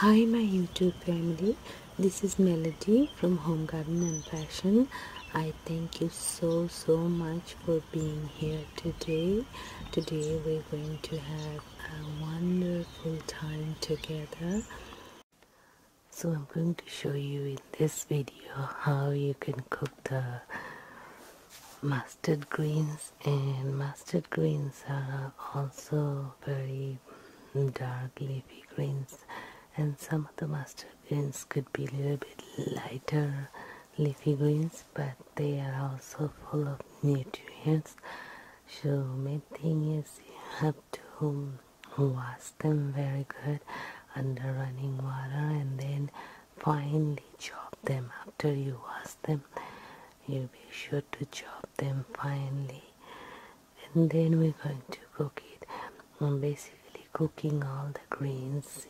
Hi my YouTube family, this is Melody from Home Garden and Fashion. I thank you so so much for being here today. Today we're going to have a wonderful time together. So I'm going to show you in this video how you can cook the mas mustard greens and mustard greens are also very dark leafy greens and some of the mustard greens could be a little bit lighter leafy greens but they are also full of nutrients so main thing is you have to wash them very good under running water and then finely chop them after you wash them you be sure to chop then finally, and then we're going to cook it I'm um, basically cooking all the greens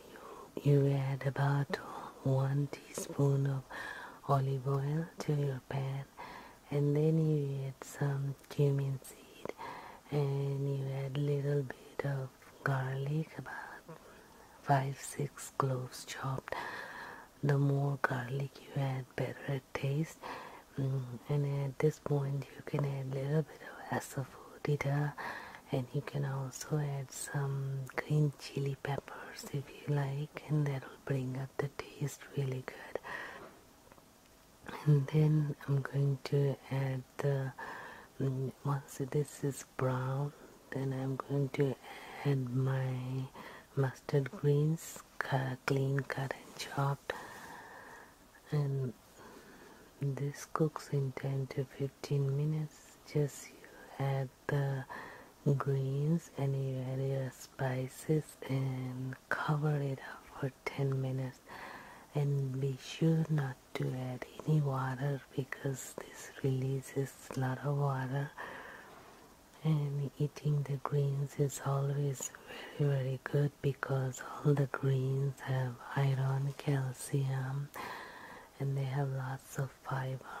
you, you add about one teaspoon of olive oil to your pan and then you add some cumin seed and you add a little bit of garlic about five six cloves chopped the more garlic you add better it tastes mm, and at this point you can add a little bit of asafoetida and you can also add some green chili peppers if you like and that will bring up the taste really good and then I'm going to add the mm, once this is brown then I'm going to add my mustard greens clean cut and chopped and this cooks in 10 to 15 minutes just add the greens and you add spices and cover it up for 10 minutes and be sure not to add any water because this releases a lot of water and eating the greens is always very very good because all the greens have iron calcium and they have lots of fiber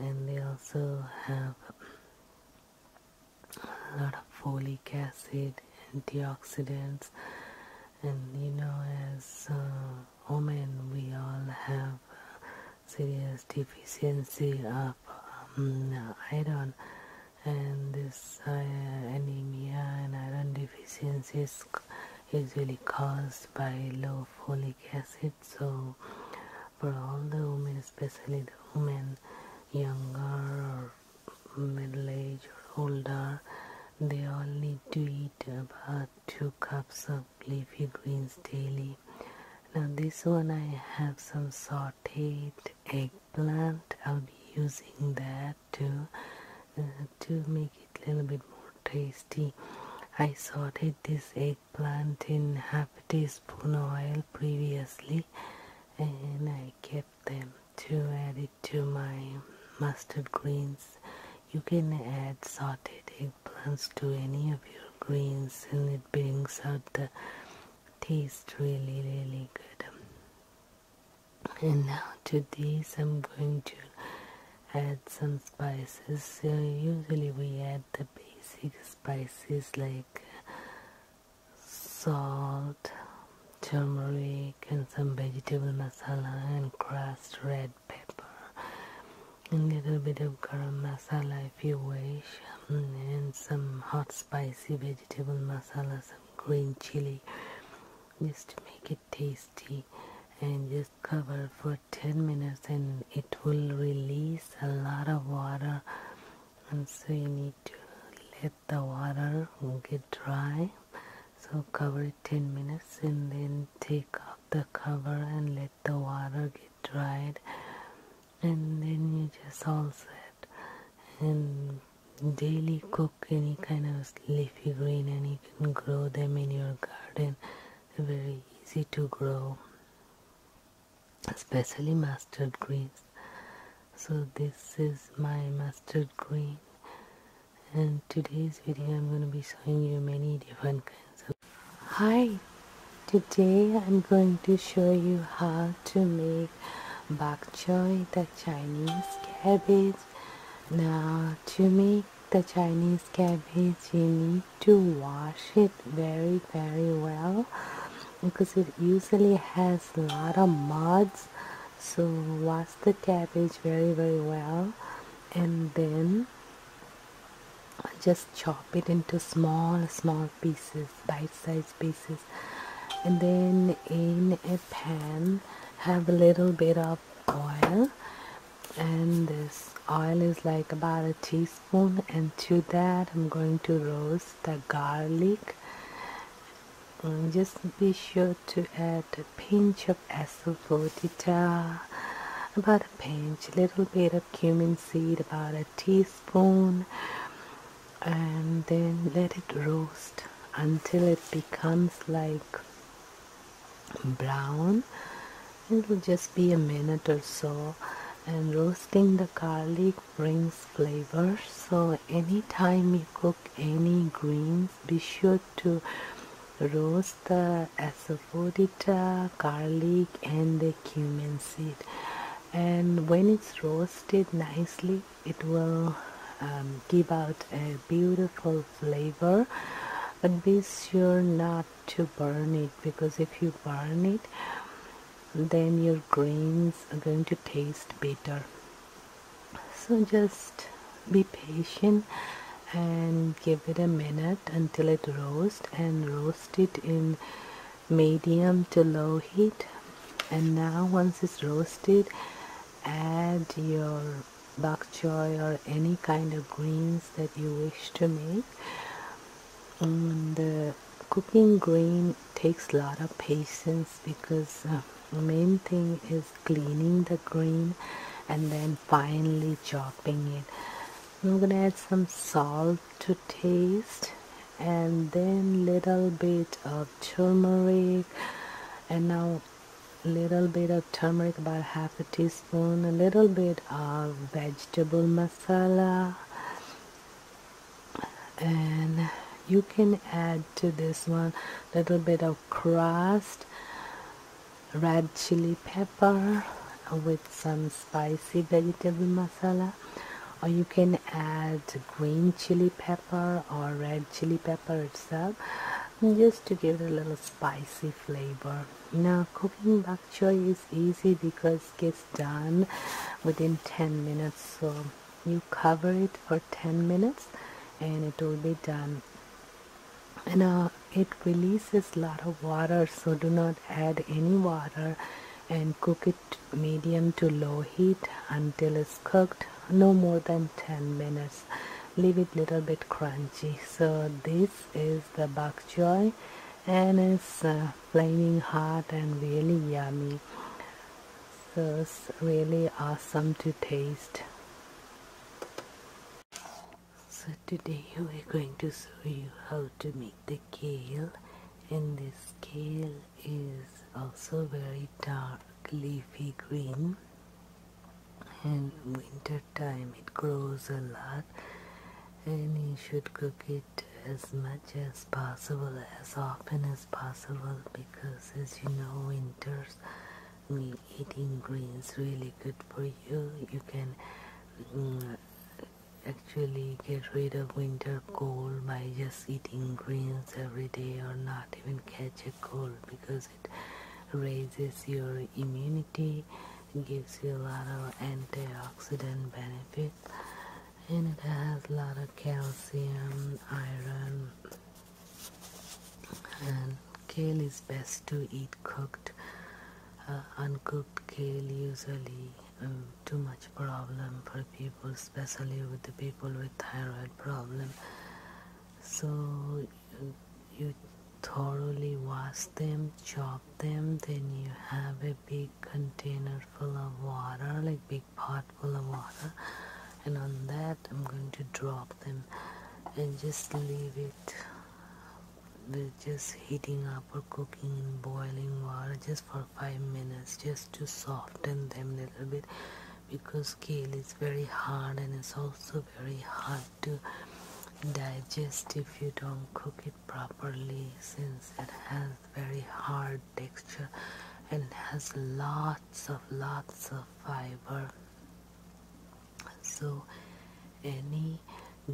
and they also have a lot of folic acid antioxidants and you know as uh, women we all have serious deficiency of um, iron and this uh, anemia and iron deficiency is usually caused by low folic acid so for all the women especially the women younger middle age or older they all need to eat about two cups of leafy greens daily. Now this one I have some sauteed eggplant. I'll be using that to uh, to make it a little bit more tasty. I sauteed this eggplant in half a teaspoon oil previously and I kept them to add it to my mustard greens. You can add sauteed happens to any of your greens and it brings out the taste really really good and now to this, I'm going to add some spices so usually we add the basic spices like salt turmeric and some vegetable masala and crushed red pepper a little bit of garam masala if you wish um, and some hot spicy vegetable masala some green chili just to make it tasty and just cover for 10 minutes and it will release a lot of water and so you need to let the water get dry so cover it 10 minutes and then take the cover and let the water get dried and then you just all it. and daily cook any kind of leafy green and you can grow them in your garden they're very easy to grow especially mustard greens so this is my mustard green and today's video I'm going to be showing you many different kinds of Hi, today I'm going to show you how to make bok choy, the Chinese cabbage. Now to make the Chinese cabbage you need to wash it very very well because it usually has a lot of muds so wash the cabbage very very well and then just chop it into small small pieces bite-sized pieces and then in a pan have a little bit of oil and this oil is like about a teaspoon and to that I'm going to roast the garlic and just be sure to add a pinch of asafoetida about a pinch little bit of cumin seed, about a teaspoon, and then let it roast until it becomes like brown. It will just be a minute or so. And roasting the garlic brings flavor, so anytime you cook any greens, be sure to roast the asafoetida, garlic and the cumin seed and when it's roasted nicely it will um, give out a beautiful flavor but be sure not to burn it because if you burn it then your grains are going to taste bitter so just be patient and give it a minute until it roasts and roasts. It in medium to low heat and now once it's roasted add your bok choy or any kind of greens that you wish to make um, the cooking green takes a lot of patience because uh, the main thing is cleaning the green and then finally chopping it I'm gonna add some salt to taste and then little bit of turmeric and now little bit of turmeric about half a teaspoon a little bit of vegetable masala and you can add to this one a little bit of crust red chili pepper with some spicy vegetable masala or you can add green chili pepper or red chili pepper itself mm, just to give it a little spicy flavor now cooking bok choy is easy because it's done within 10 minutes so you cover it for 10 minutes and it will be done and uh, it releases a lot of water so do not add any water and cook it medium to low heat until it's cooked no more than 10 minutes leave it little bit crunchy so this is the bok and it's uh, flaming hot and really yummy so it's really awesome to taste so today we're going to show you how to make the kale and this kale is also very dark leafy green and winter time it grows a lot and you should cook it as much as possible as often as possible because as you know winters eating greens really good for you you can mm, actually get rid of winter cold by just eating greens every day or not even catch a cold because it raises your immunity gives you a lot of antioxidant benefits and it has a lot of calcium iron and kale is best to eat cooked. Uh, uncooked kale usually um, too much problem for people, especially with the people with thyroid problem. So you thoroughly wash them, chop them, then you have a big container full of water, like big pot full of water, and on that I'm going to drop them and just leave it we're just heating up or cooking in boiling water just for five minutes just to soften them a little bit because kale is very hard and it's also very hard to digest if you don't cook it properly since it has very hard texture and has lots of lots of fiber so any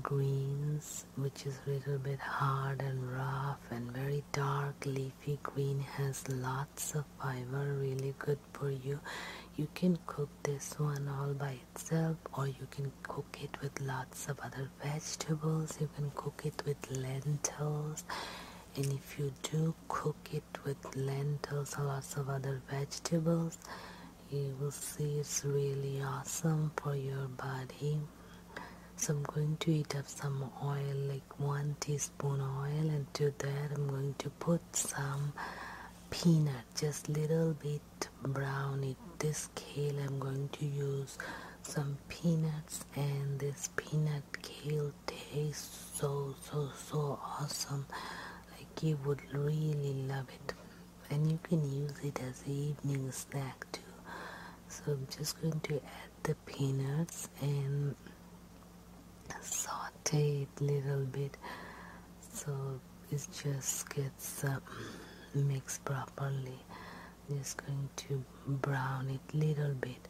greens which is a little bit hard and rough and very dark leafy green has lots of fiber really good for you you can cook this one all by itself or you can cook it with lots of other vegetables you can cook it with lentils and if you do cook it with lentils or lots of other vegetables you will see it's really awesome for your body so I'm going to eat up some oil like one teaspoon oil and to that I'm going to put some peanut just little bit brown in this kale I'm going to use some peanuts and this peanut kale tastes so so so awesome like you would really love it and you can use it as an evening snack too. So I'm just going to add the peanuts and saute it little bit so it just gets um, mixed properly. just going to brown it little bit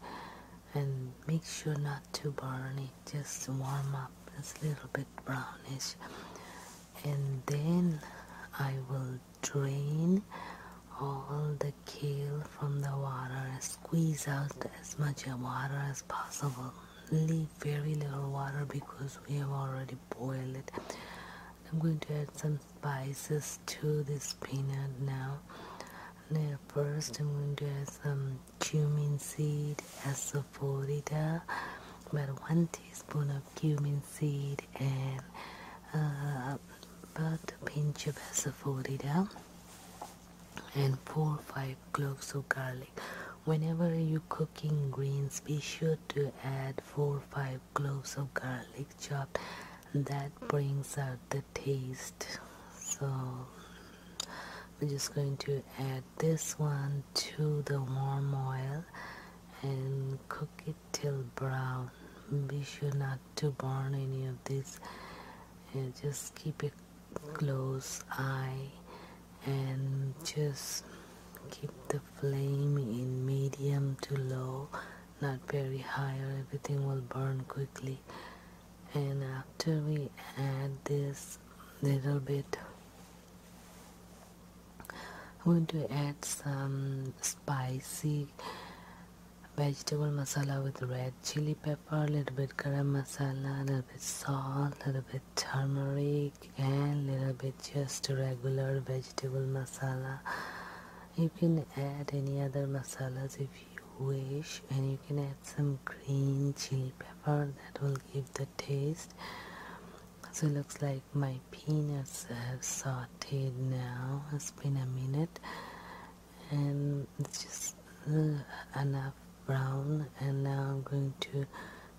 and make sure not to burn it, just warm up, it's a little bit brownish and then I will drain all the kale from the water squeeze out as much water as possible leave very little water because we have already boiled it I'm going to add some spices to this peanut now first I'm going to add some cumin seed as a of Florida about one teaspoon of cumin seed and uh, about a pinch of asafoetida and four or five cloves of garlic whenever you cooking greens be sure to add four or five cloves of garlic chopped that brings out the taste so we're just going to add this one to the warm oil and cook it till brown be sure not to burn any of this and just keep a close eye and just keep the flame in medium to low not very high or everything will burn quickly and after we add this little bit I'm going to add some spicy vegetable masala with red chili pepper, a little bit garam masala, a little bit salt, a little bit turmeric, and a little bit just regular vegetable masala. You can add any other masalas if you wish, and you can add some green chili pepper that will give the taste so it looks like my peanuts have sauteed now it's been a minute and it's just uh, enough brown and now I'm going to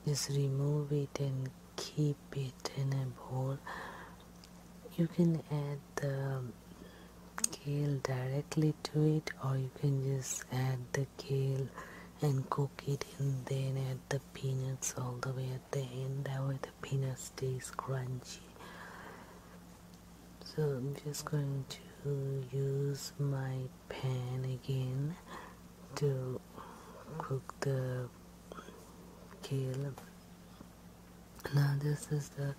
just remove it and keep it in a bowl you can add the kale directly to it or you can just add the kale and cook it and then add the peanuts all the way at the end that way the peanuts stays crunchy so I'm just going to use my pan again to cook the kale now this is the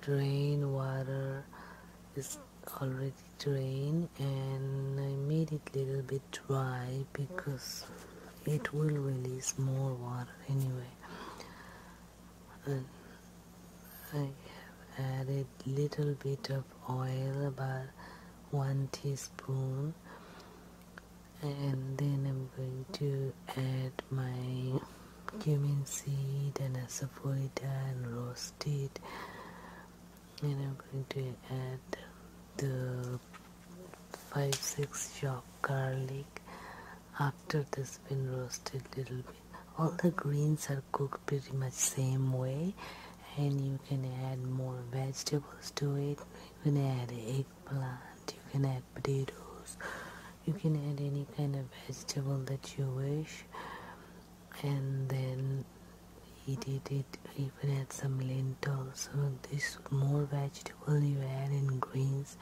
drain water is already Drain and I made it little bit dry because it will release more water anyway I have added little bit of oil about one teaspoon and then I'm going to add my cumin seed and asafoetida and roast it and I'm going to add the 5 6 chopped garlic after this been roasted a little bit all the greens are cooked pretty much same way and you can add more vegetables to it you can add eggplant you can add potatoes you can add any kind of vegetable that you wish and then he did it even add some lentils so this more vegetable you add in greens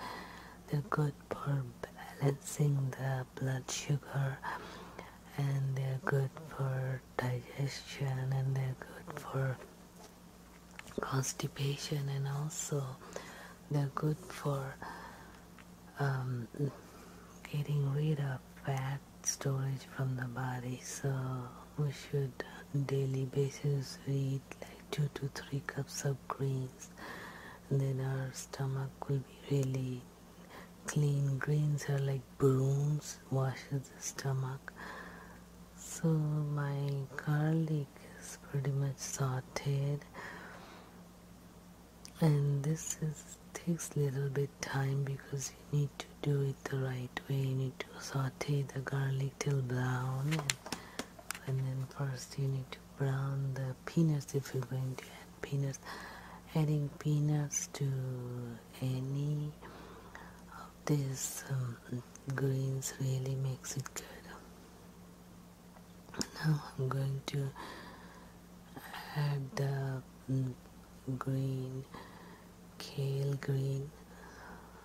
they're good for balancing the blood sugar and they're good for digestion and they're good for constipation and also they're good for um, getting rid of fat storage from the body so we should daily basis eat like two to three cups of greens then our stomach will be really clean greens are like brooms washes the stomach so my garlic is pretty much sauteed and this is takes little bit time because you need to do it the right way. You need to saute the garlic till brown and, then first you need to brown the peanuts if you're going to add peanuts. Adding peanuts to any of these um, greens really makes it good. Now I'm going to add the mm, green, kale green.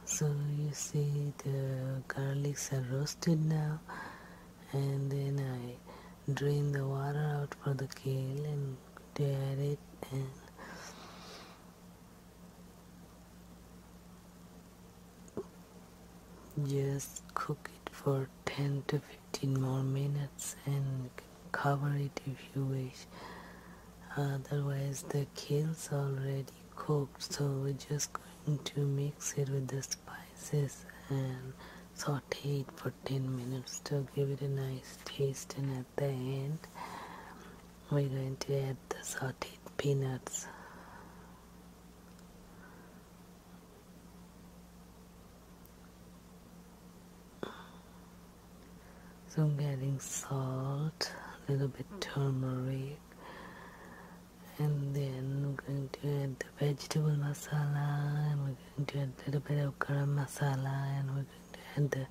So you see the garlics are roasted now and then I drain the water out for the kale and tear it and just cook it for 10 to 15 more minutes and cover it if you wish otherwise the kale's already cooked so we're just going to mix it with the spices and saute it for 10 minutes to give it a nice taste and at the end we're going to add the sauteed peanuts so I'm getting salt, a little bit turmeric, and then we're going to add the vegetable masala, and we're going to add a little bit of garam masala, and we're going to add the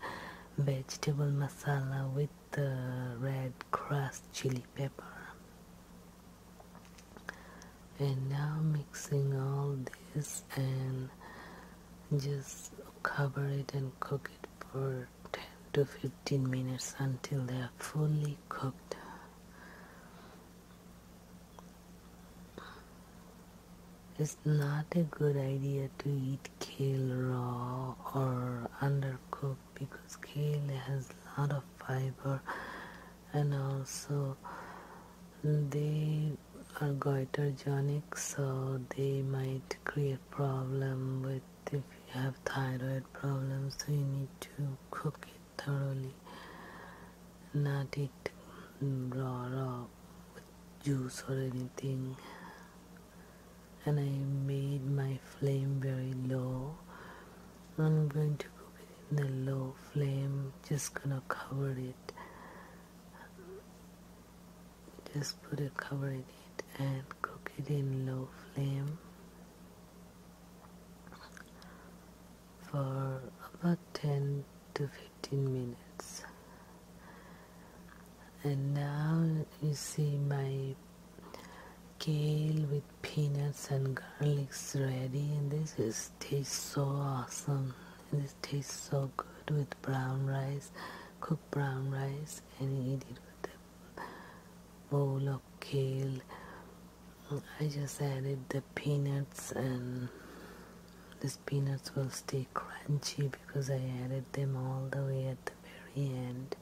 vegetable masala with the red crushed chili pepper. And now mixing all this and just cover it and cook it for 10 to 15 minutes until they are fully cooked it's not a good idea to eat kale raw or undercooked because kale has a lot of fiber and also they are goiterogenic so they might create problem with if you have thyroid problems so you need to cook it thoroughly not eat raw raw juice or anything and I made my flame very low I'm going to cook it in the low flame just gonna cover it just put a cover in it and cook it in low flame for about 10 to 15 minutes and now you see my kale with peanuts and garlics ready and this is tastes so awesome this tastes so good with brown rice cooked brown rice and eat it with a bowl of kale I just added the peanuts and these peanuts will stay crunchy because I added them all the way at the very end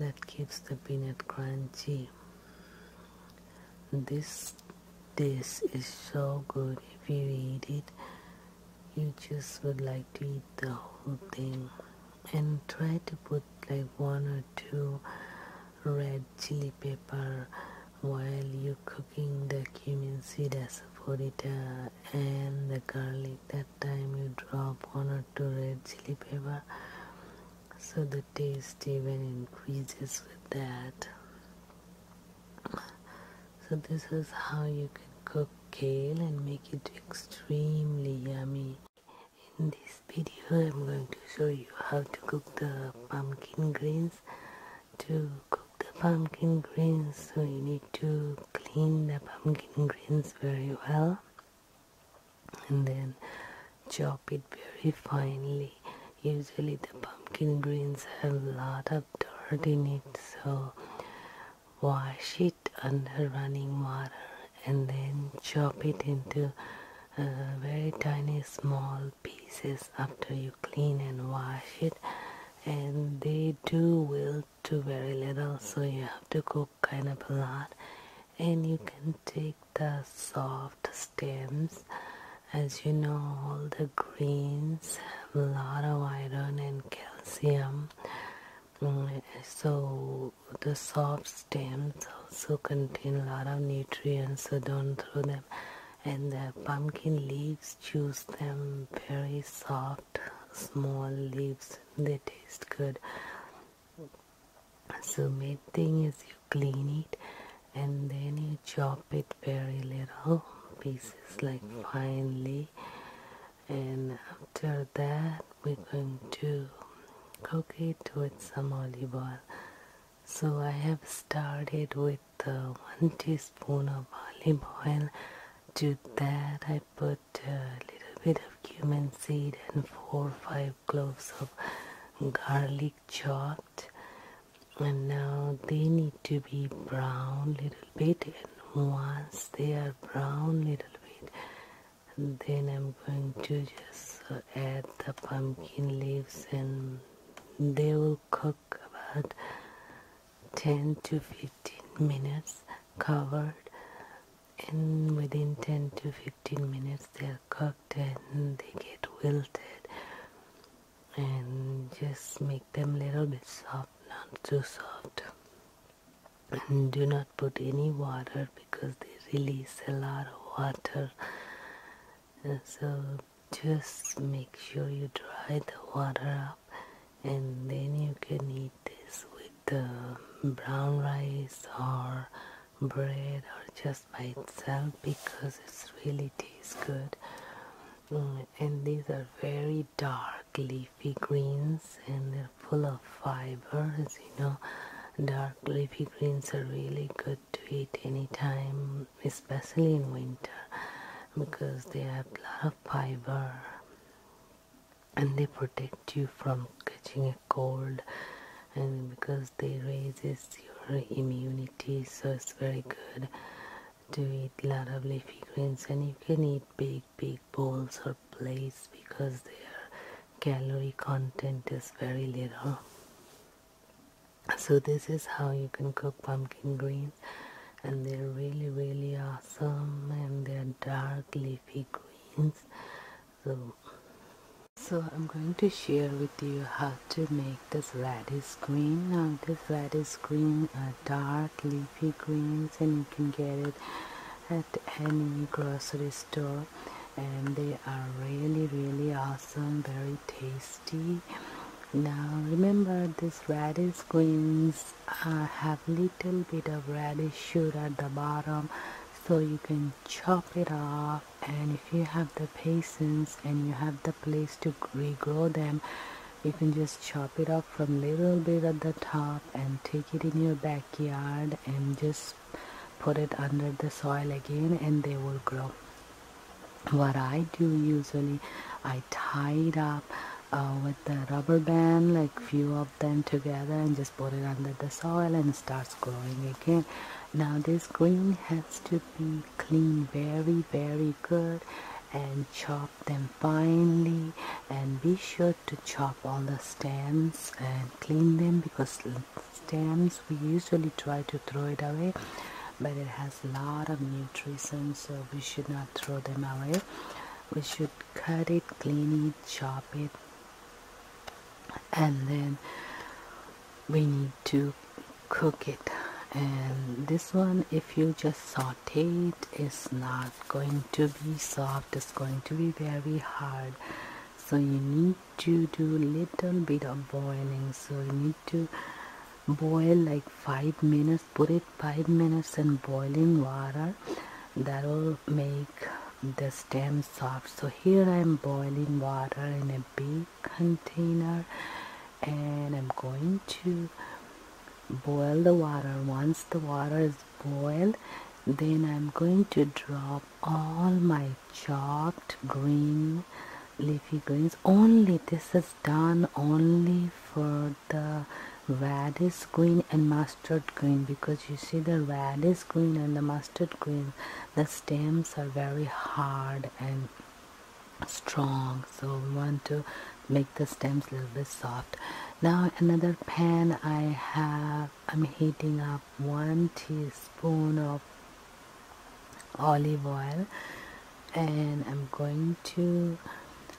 that keeps the peanut crunchy this this is so good. If you eat it, you just would like to eat the whole thing. And try to put like one or two red chili pepper while you're cooking the cumin seed asafoetida and the garlic. That time you drop one or two red chili pepper so the taste even increases with that so this is how you can cook kale and make it extremely yummy. In this video I'm going to show you how to cook the pumpkin greens. To cook the pumpkin greens so you need to clean the pumpkin greens very well and then chop it very finely usually the pumpkin greens have a lot of dirt in it so wash it under running water and then chop it into uh, very tiny small pieces after you clean and wash it and they do wilt to very little so you have to cook kind of a lot and you can take the soft stems as you know, all the greens have a lot of iron and calcium, mm, so the soft stems also contain a lot of nutrients, so don't throw them. And the pumpkin leaves, choose them very soft, small leaves, they taste good. So, main thing is you clean it and then you chop it very little pieces like finely and after that we're going to cook it with some olive oil so i have started with one teaspoon of olive oil to that i put a little bit of cumin seed and four or five cloves of garlic chopped and now they need to be brown little bit and once they are brown little bit then I'm going to just add the pumpkin leaves and they will cook about 10 to 15 minutes covered and within 10 to 15 minutes they are cooked and they get wilted and just make them little bit soft not too soft and do not put any water because they release a lot of water so just make sure you dry the water up and then you can eat this with uh, brown rice or bread or just by itself because it really tastes good uh, and these are very dark leafy greens and they're full of fibers you know dark leafy greens are really good to eat anytime especially in winter because they have a lot of fiber and they protect you from catching a cold and because they raises your immunity so it's very good to eat a lot of leafy greens and you can eat big big bowls or plates because their calorie content is very little so this is how you can cook pumpkin greens and they're really really awesome and they're dark leafy greens so so I'm going to share with you how to make this radish green now this radish is green dark leafy greens and you can get it at any grocery store and they are really really awesome very tasty now remember this radish greens have little bit of radish shoot at the bottom so you can chop it off and if you have the patience and you have the place to regrow them you can just chop it up from little bit at the top and take it in your backyard and just put it under the soil again and they will grow what i do usually i tie it up uh, with the rubber band like few of them together and just put it under the soil and starts growing again now this green has to be clean very very and chop them finely and be sure to chop all the stems and clean them because stems we usually try to throw it away but it has a lot of nutrition so we should not throw them away we should cut it clean it chop it and then we need to cook it and this one if you just saute it is not going to be soft it's going to be very hard so you need to do little bit of boiling so you need to boil like five minutes put it five minutes in boiling water that will make the stem soft so here i'm boiling water in a big container and I'm going to boil the water once the water is boiled then I'm going to drop all my chopped green leafy greens only this is done only for the radish green and mustard green because you see the radish green and the mustard green the stems are very hard and strong so we want to make the stems a little bit soft now another pan I have I'm heating up one teaspoon of olive oil and I'm going to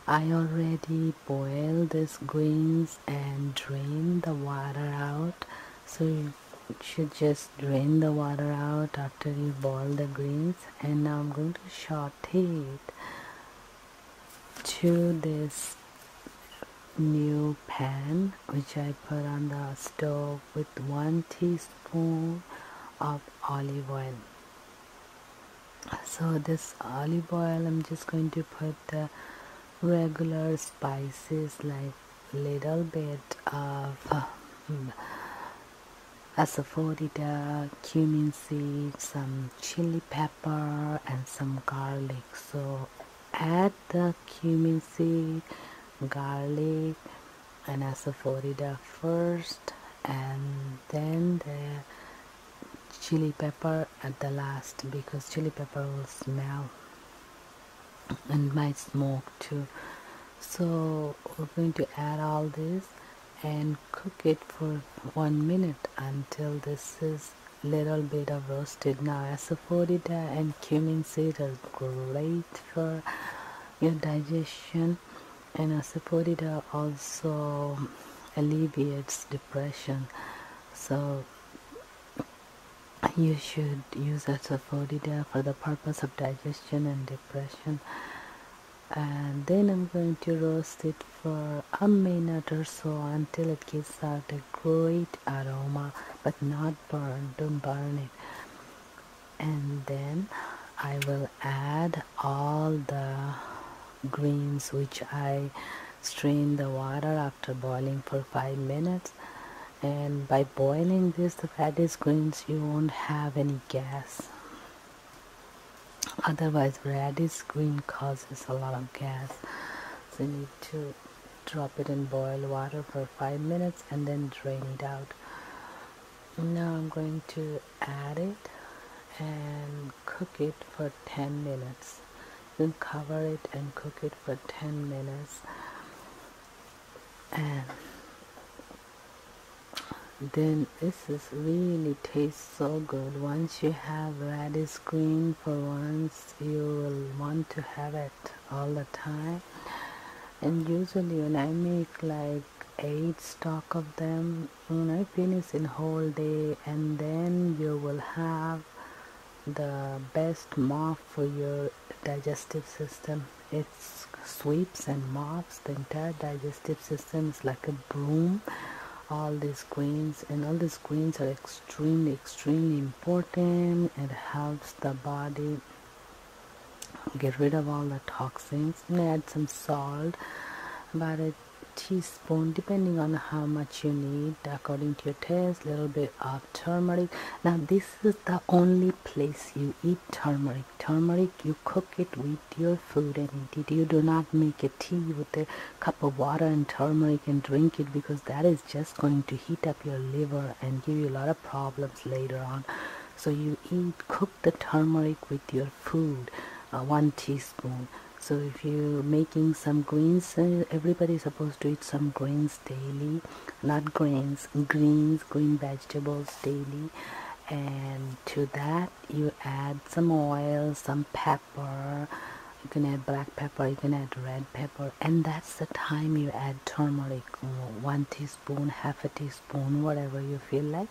I already boiled this greens and drain the water out so you should just drain the water out after you boil the greens and now I'm going to saute it to this new pan which I put on the stove with one teaspoon of olive oil so this olive oil I'm just going to put the regular spices like little bit of um, asafoetida, cumin seeds, some chili pepper and some garlic. So add the cumin seed, garlic and asafoetida first and then the chili pepper at the last because chili pepper will smell and might smoke too so we're going to add all this and cook it for one minute until this is little bit of roasted now asafoetida and cumin seed are great for your digestion and asafoetida also alleviates depression so you should use asafoetida for the purpose of digestion and depression and then I'm going to roast it for a minute or so until it gives out a great aroma but not burn don't burn it and then I will add all the greens which I strained the water after boiling for 5 minutes and by boiling this the fat is green you won't have any gas otherwise radish green causes a lot of gas so you need to drop it in boiled water for five minutes and then drain it out now I'm going to add it and cook it for 10 minutes then cover it and cook it for 10 minutes and um, then this is really tastes so good once you have radish green for once you will want to have it all the time and usually when I make like eight stock of them when I finish in whole day and then you will have the best mark for your digestive system. It sweeps and mops the entire digestive system. It's like a broom. All these greens and all these greens are extremely, extremely important. It helps the body get rid of all the toxins. And add some salt, about a teaspoon, depending on how much you need, according to your taste. A Little bit of turmeric. Now, this is the only place you eat turmeric. Turmeric, you cook it with your food and eat You do not make a tea with a cup of water and turmeric and drink it because that is just going to heat up your liver and give you a lot of problems later on. So you eat, cook the turmeric with your food, uh, one teaspoon. So if you're making some greens, uh, everybody's supposed to eat some greens daily not grains greens green vegetables daily and to that you add some oil some pepper you can add black pepper you can add red pepper and that's the time you add turmeric one teaspoon half a teaspoon whatever you feel like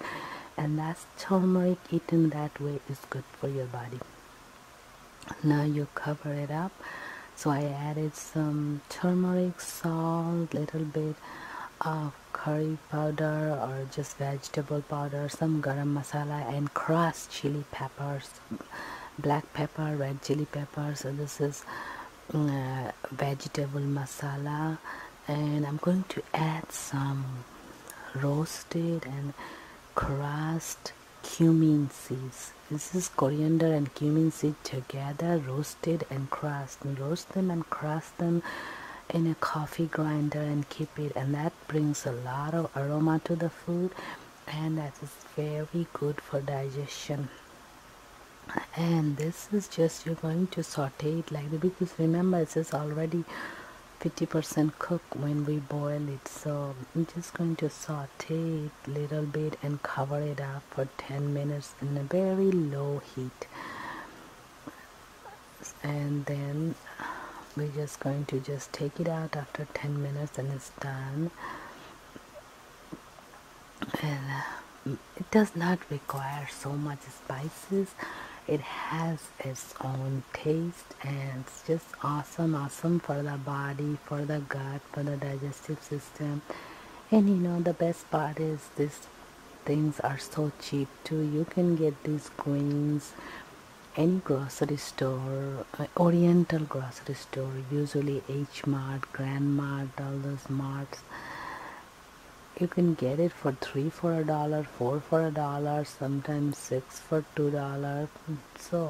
and that's turmeric eaten that way is good for your body now you cover it up so I added some turmeric salt little bit uh, curry powder or just vegetable powder some garam masala and crushed chili peppers black pepper red chili pepper so this is mm, uh, vegetable masala and i'm going to add some roasted and crushed cumin seeds this is coriander and cumin seed together roasted and crust and roast them and crush them in a coffee grinder and keep it and that brings a lot of aroma to the food and that is very good for digestion and this is just you're going to saute it like that because remember it's already 50% cooked when we boil it so I'm just going to saute it little bit and cover it up for 10 minutes in a very low heat and then we're just going to just take it out after 10 minutes and it's done and uh, it does not require so much spices it has its own taste and it's just awesome awesome for the body for the gut for the digestive system and you know the best part is these things are so cheap too you can get these greens any grocery store uh, oriental grocery store usually h mart grand mart all those marts you can get it for three for a dollar four for a dollar sometimes six for two dollars so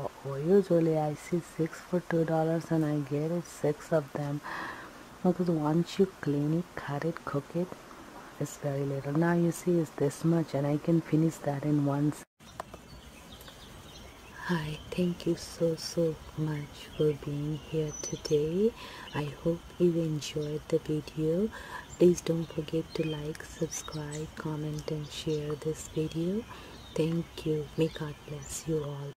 usually i see six for two dollars and I get six of them because once you clean it cut it cook it it's very little now you see it's this much and I can finish that in one Hi, thank you so so much for being here today. I hope you enjoyed the video. Please don't forget to like, subscribe, comment and share this video. Thank you. May God bless you all.